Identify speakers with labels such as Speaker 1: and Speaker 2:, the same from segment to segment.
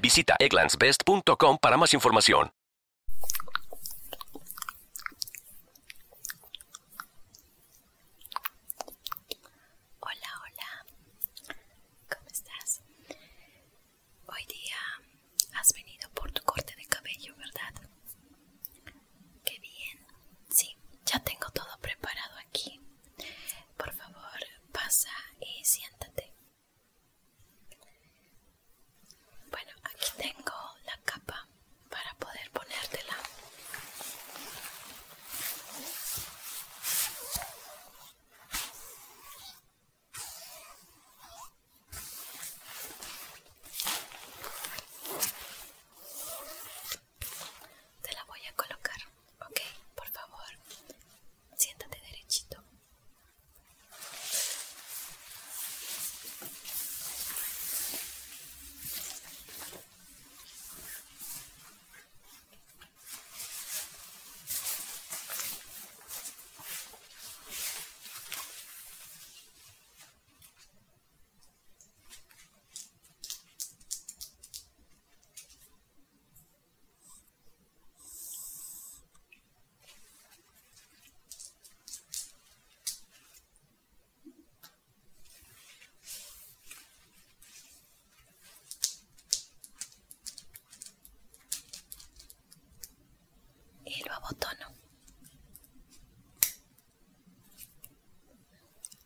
Speaker 1: Visita egglandsbest.com para más información.
Speaker 2: Hola, hola. ¿Cómo estás? Hoy día has venido por tu corte de cabello, ¿verdad? Qué bien. Sí, ya tengo todo preparado aquí. Por favor, pasa y siéntate. Bueno, aquí tengo la capa para poder ponértela. Te la voy a colocar. Okay, por favor, siéntate derechito y lo abotono.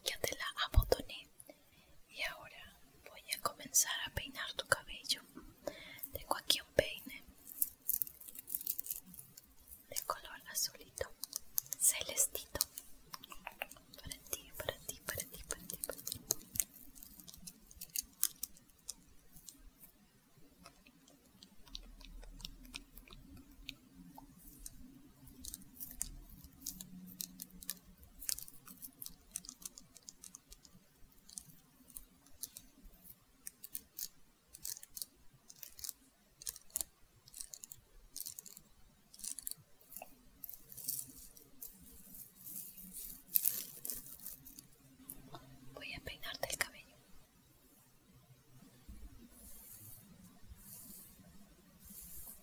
Speaker 2: Ya te la abotoné. Y ahora voy a comenzar a peinar tu cabello. Tengo aquí un peine de color azulito, celestito. Para ti, para ti, para ti, para ti, para ti. Voy a peinarte el cabello.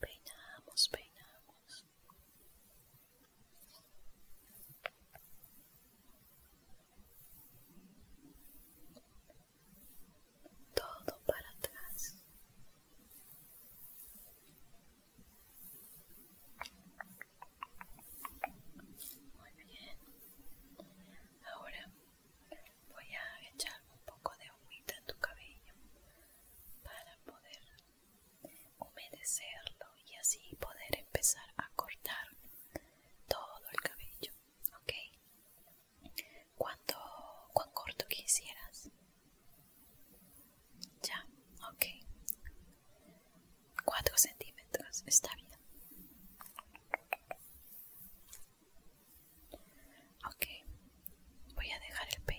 Speaker 2: Peinamos, peinamos todo para atrás. Muy bien. Ahora voy a echar un poco de humita en tu cabello para poder humedecerlo y así poder empezar a cortar todo el cabello. ¿Ok? ¿Cuánto, cuán corto quisieras? Ya, ok. Cuatro centímetros, está bien. Ok, voy a dejar el peine.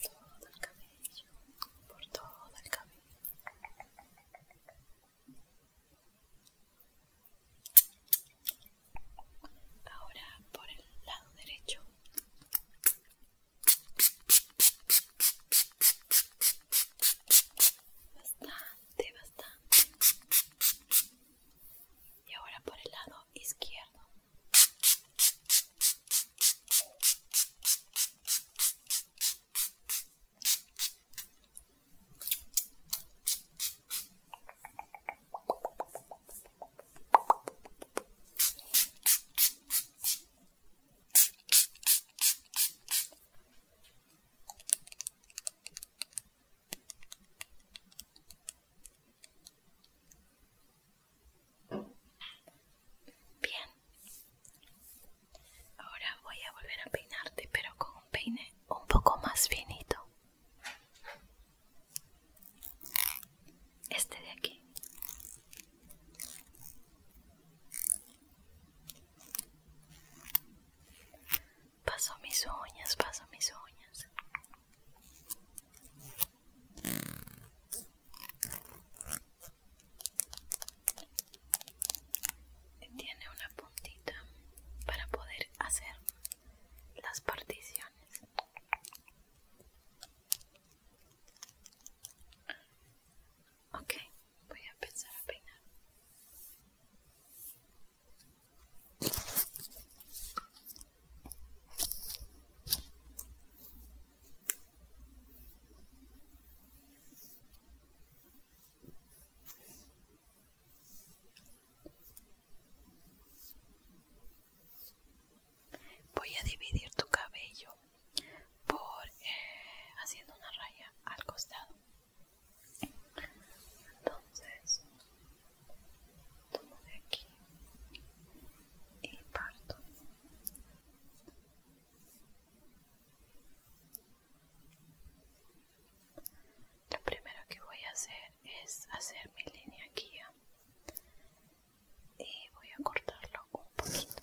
Speaker 1: todo el cabello, por todo el cabello.
Speaker 2: Ahora por el lado derecho. Bastante, bastante. Y ahora por el lado izquierdo. Bien. Ahora voy a volver a peinarte, pero con un peine un poco más finito. Este de aquí. Paso mis uñas, paso mis uñas. Tiene una puntita para poder hacer las particiones. Ok, voy a empezar a peinar. Voy a dividir tu cabello por eh, haciendo una raya al costado entonces tomo de aquí y parto lo primero que voy a hacer es hacer mi línea guía y voy a cortarlo un poquito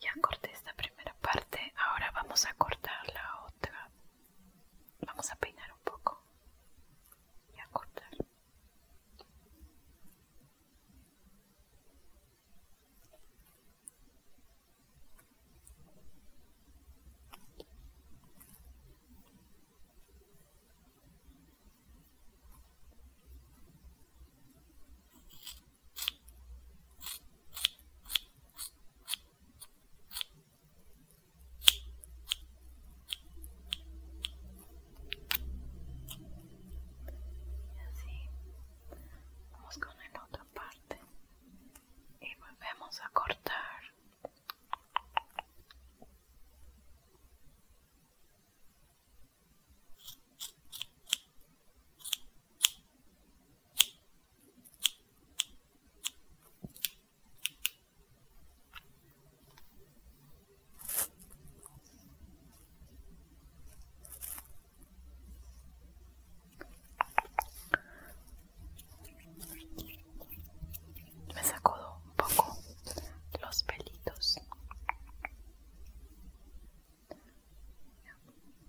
Speaker 2: Ya corté esta primera parte, ahora vamos a cortar la otra. Vamos a peinar un poco y a cortar. Y así vamos con la otra parte y volvemos a cortar. Me sacó un poco los pelitos.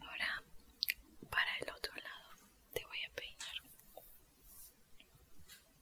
Speaker 2: Ahora, para el otro lado, te voy a peinar.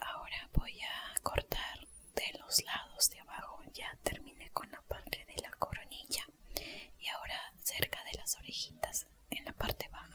Speaker 2: Ahora voy a cortar de los lados de abajo. Ya terminé con la parte de la coronilla y ahora cerca de las orejitas en la parte baja.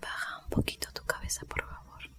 Speaker 2: Baja un poquito tu cabeza, por favor.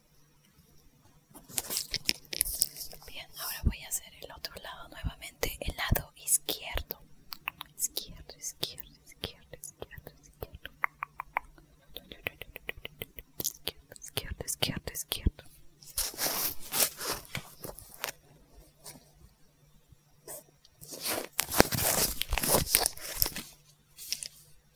Speaker 2: Bien, ahora voy a hacer el otro lado nuevamente, el lado izquierdo. Izquierdo, izquierdo, izquierdo, izquierdo, izquierdo. Izquierdo, izquierdo, izquierdo, izquierdo.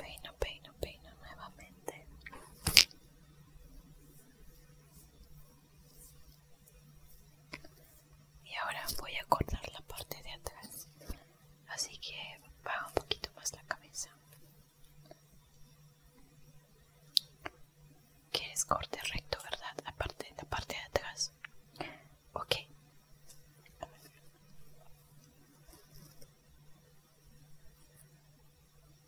Speaker 2: Peino, peino, peino nuevamente. Y ahora voy a cortar la parte de atrás, así que baja un poquito más la cabeza. Quieres corte recto, ¿verdad? la parte de atrás. Ok.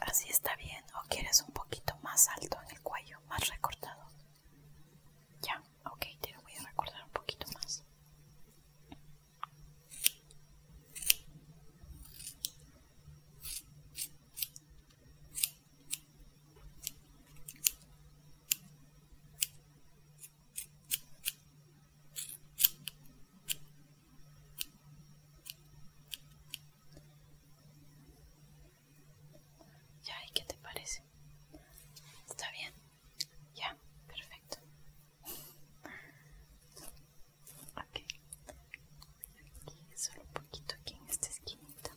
Speaker 2: Así está bien, o quieres un poquito más alto en el cuello, más recortado. Ya, ok, te lo voy a recortar un poquito más. Ya, ¿y qué te parece? ¿Está bien? Ya, perfecto. Ok. solo un poquito aquí en esta esquinita.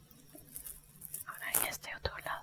Speaker 2: ahora en este otro lado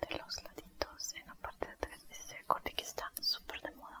Speaker 2: de los laditos en la parte de atrás ese corte que está súper de moda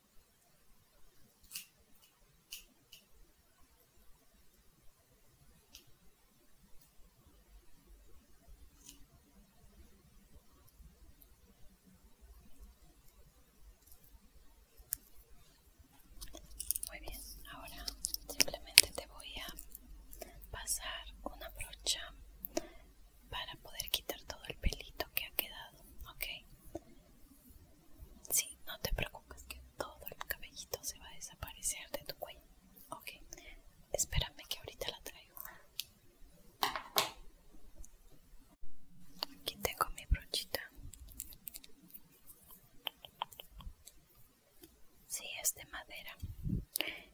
Speaker 2: Muy bien, ahora simplemente te voy a pasar una brocha para poder quitar todo el pelito que ha quedado, ¿ok? Sí, no te preocupes que todo el cabellito se va a desaparecer de tu cuello, ¿ok? Espérame que ahorita la traigo. Aquí tengo mi brochita. Sí, es de madera.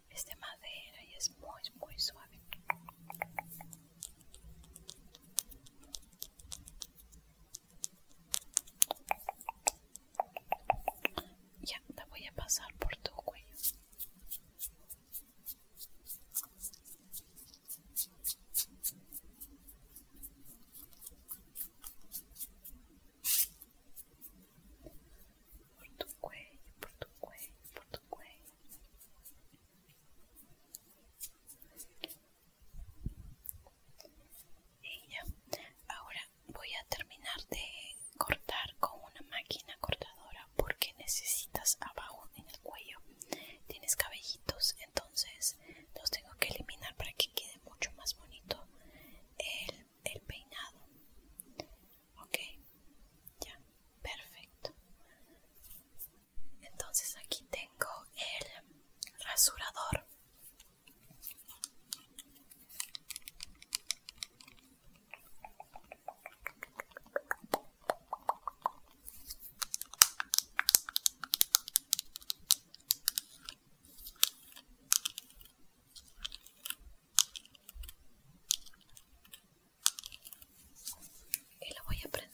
Speaker 2: Es de madera y es muy, muy suave.
Speaker 1: Ya, te voy a pasar por tu cuello. Por tu cuello, por tu cuello, por tu cuello.
Speaker 2: Y ya. Ahora voy a terminar de cortar con una máquina cortadora porque necesitas abajo en el cuello. Tienes cabellitos, entonces los tengo que eliminar para que quede mucho más bonito el, el peinado. Ok, ya, perfecto entonces aquí tengo el rasurador y la voy a aprender.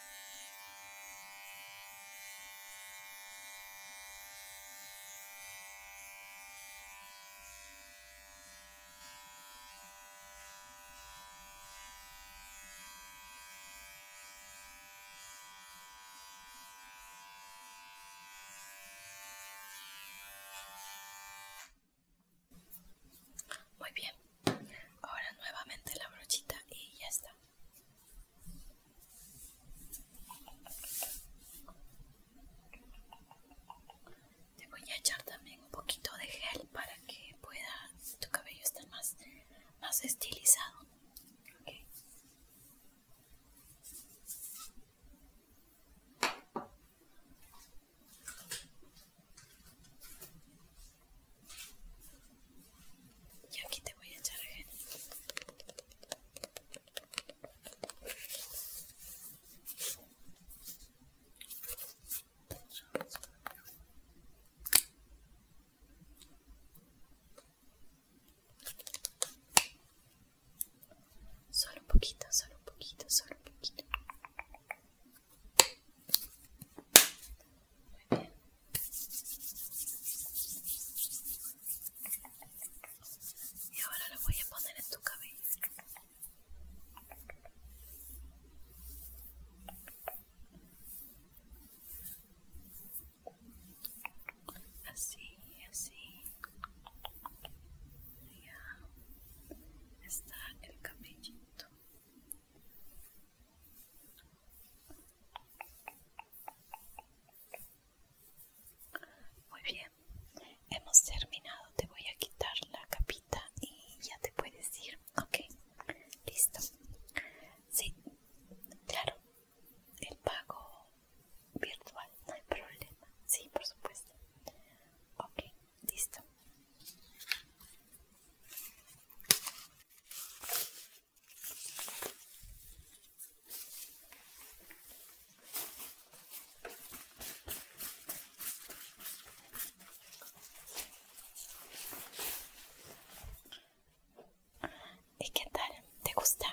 Speaker 2: Muy bien, ahora nuevamente la brochita y ya está. Te voy a echar también un poquito de gel para que pueda tu cabello estar más, más estilizado. Y aquí te voy a echar gente. Solo un poquito, solo un poquito, solo un poquito. Y ahora lo voy a poner en tu cabello. Así, así. Ya está el cabellito. Muy bien, hemos terminado. Te voy a quitar la capita y ya te puedes ir. Ok, listo. Sí, claro, el pago virtual, no hay problema. Sí, por supuesto. Ok, listo. ¿Y qué tal? ¿Te gusta?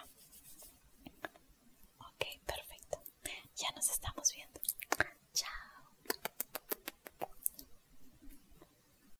Speaker 2: Ok, perfecto. Ya nos estamos viendo. Chao.